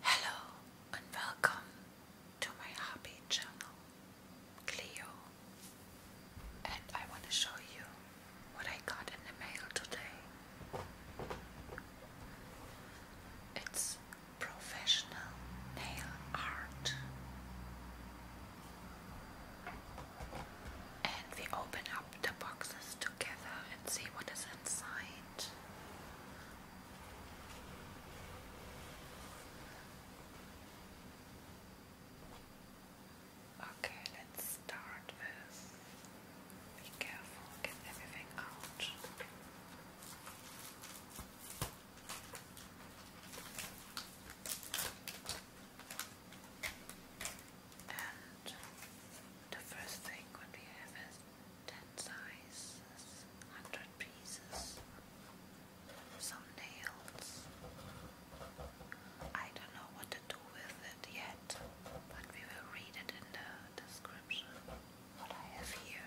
Hello and welcome to my hobby channel, Cleo. And I want to show you what I got in the mail today. It's professional nail art. And we open up the boxes together and see what is inside. Okay, let's start with be careful, get everything out and the first thing what we have is 10 sizes, 100 pieces, some nails. I don't know what to do with it yet, but we will read it in the description what I have here.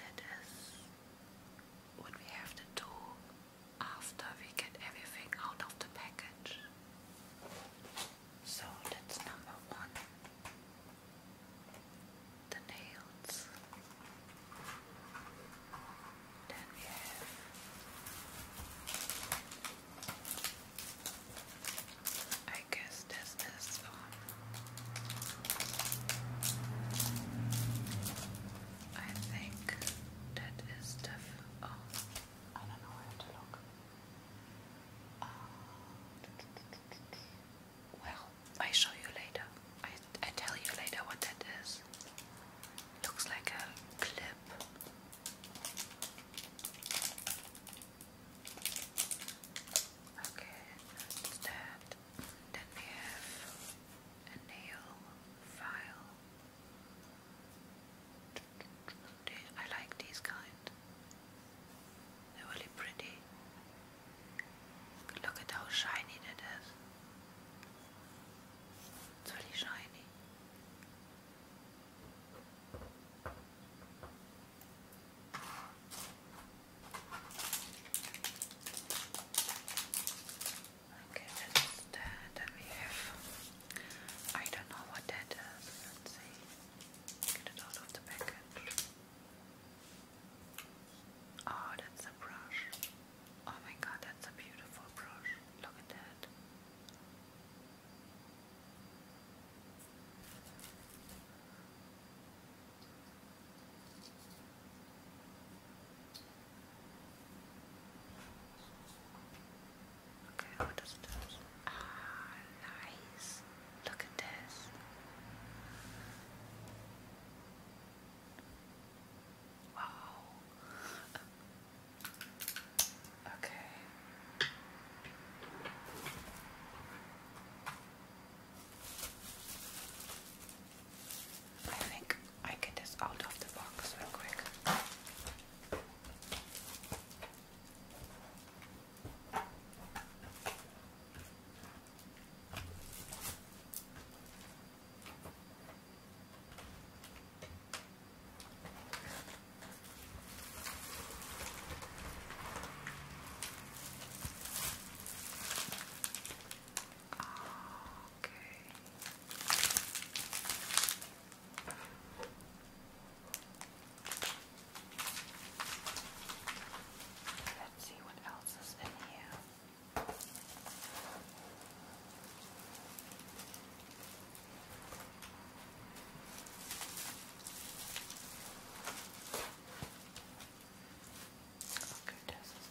And that is what we have to do after we get everything out of the package. So that's number one the nails. Then we have I guess this is I think that is definitely. Oh, I don't know where to look. Uh, well, I show you later. I, I tell you later what that is. Looks like a clip. Okay, that's that. Then we have a nail file. I like these kind. They're really pretty. Look at how shiny that is. It's really shiny. Okay, that's that. Then don't know what that is. Let's see. Get it out of the package. Oh, that's a brush. Oh my god, that's a beautiful brush. Look at that. Okay, what does it Ah, nice. Look at this. Wow. Um, okay. I think I get this out of the box real quick. Okay. Let's see what else is in here. Okay, this is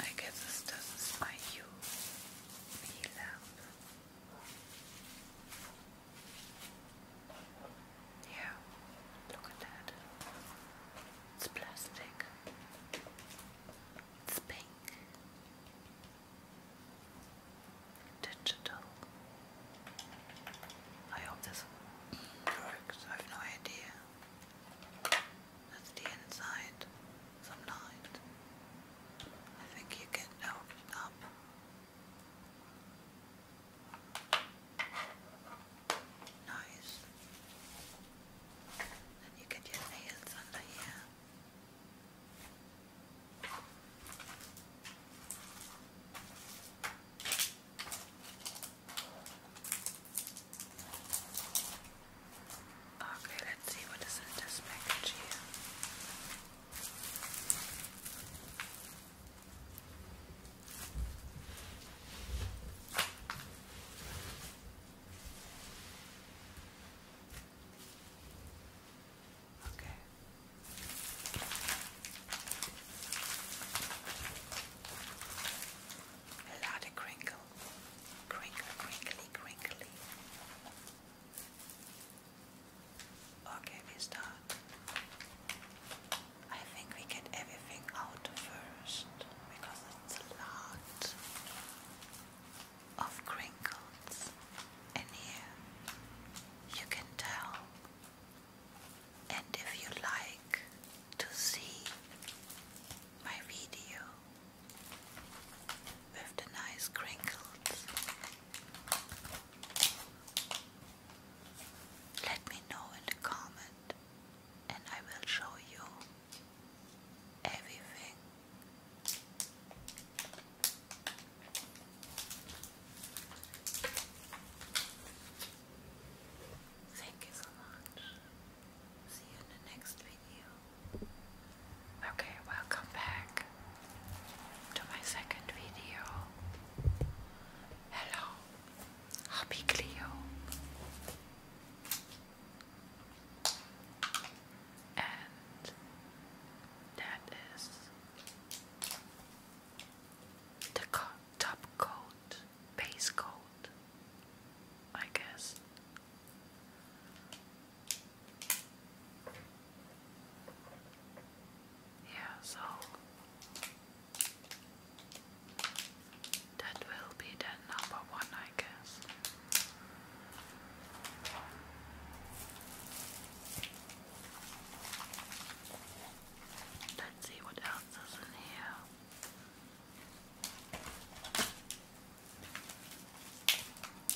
I guess this doesn't smile you be loud. Yeah, look at that. It's plastic. It's pink. Digital. I hope this works. I have no idea. That's the inside. Some night. I think you can open up. Nice. Then you get your nails under here. Okay, let's see what is in this package here. Okay. A lot of crinkle. Crinkle, crinkly, crinkly. Okay, we start. I think we get everything out first because it's a lot of crinkles in here. You can tell. And if you like to see my video with the nice crinkles, let me know in the comment and I will show you everything. Thank you so much. See you in the next video. Okay, welcome back to my second video. Hello, Happy Cleo and that is the top coat, base coat, I guess. Yeah, so that will be the number one, I guess. Let's see what else is in here.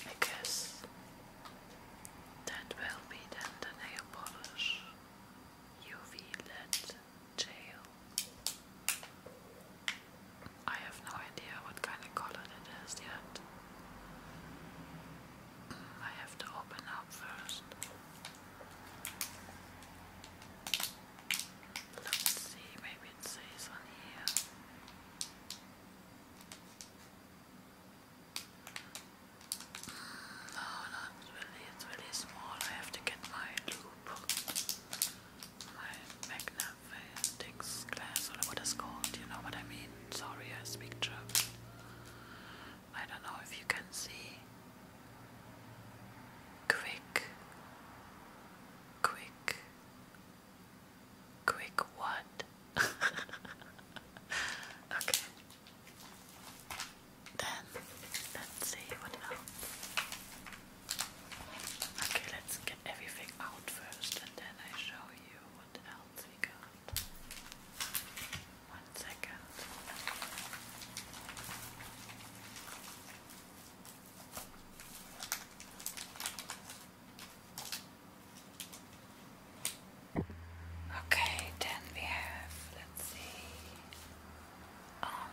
I guess that will be then the nail polish UV LED gel. I have no idea what kind of color it is yet. Mm, I have to open up first. Let's see, maybe it says on here. Mm, no, not really, it's really small. I have to get my loop, my magnet. Verwendungsglas or what called, you know what I mean? Sorry, I speak German. I don't know if you can see. Quick, quick, quick what? okay. Then, let's see what else. Okay, let's get everything out first and then I show you what else we got. One second. Okay, then we have, let's see, um,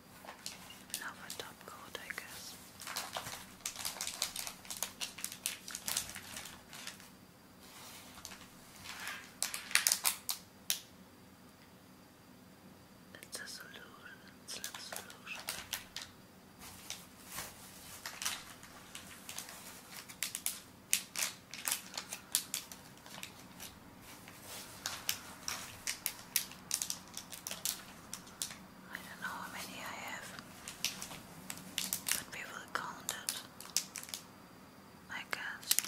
Now top coat, I guess. It's a solution, it's a solution. I don't know how many I have, but we will count it, I guess.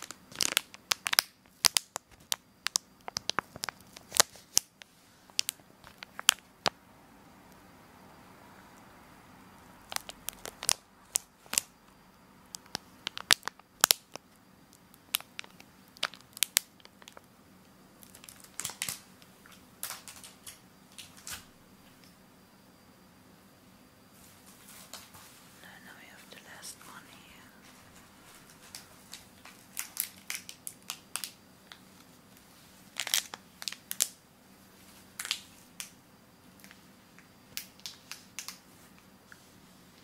And now we have the last one here.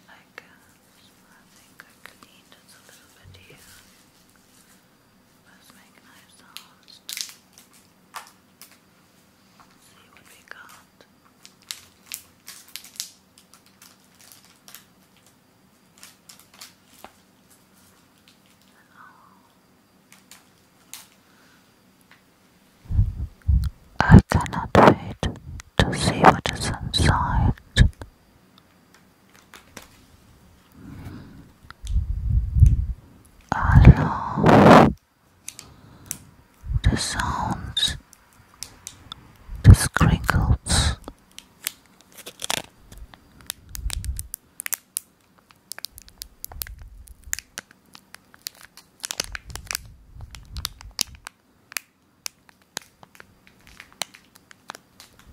Like uh, Let's make nice sounds. See what we got. I cannot wait to see what is inside. Allow the sounds, the sprinkles.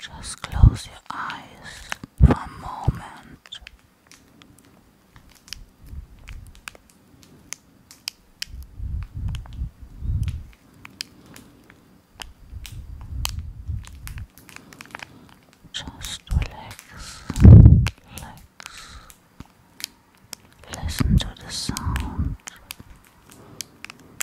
Just close your eyes for a moment. Just relax, relax. Listen to the sound.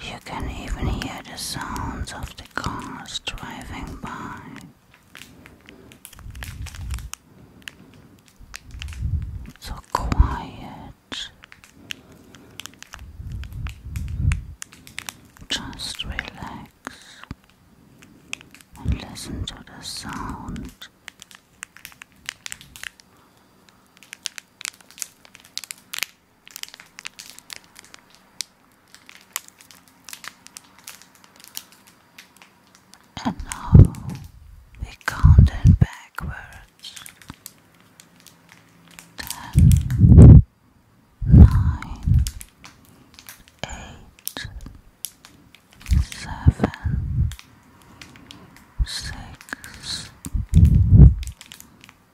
You can even hear the sounds of the cars driving by. So quiet. Just relax and listen to the sound. And now we count them backwards. Ten, nine, eight, seven, six,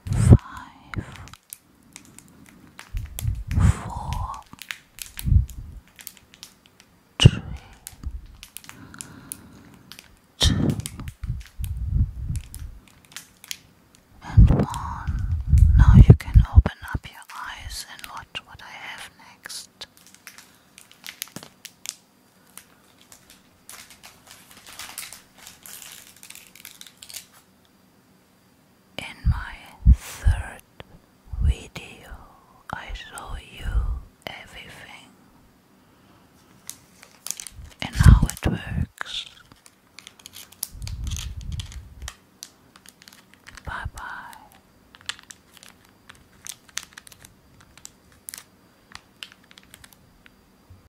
five, four, three, two, and one. Now you can open up your eyes and watch what I have next. In my third video, I show you everything and how it works. Bye bye.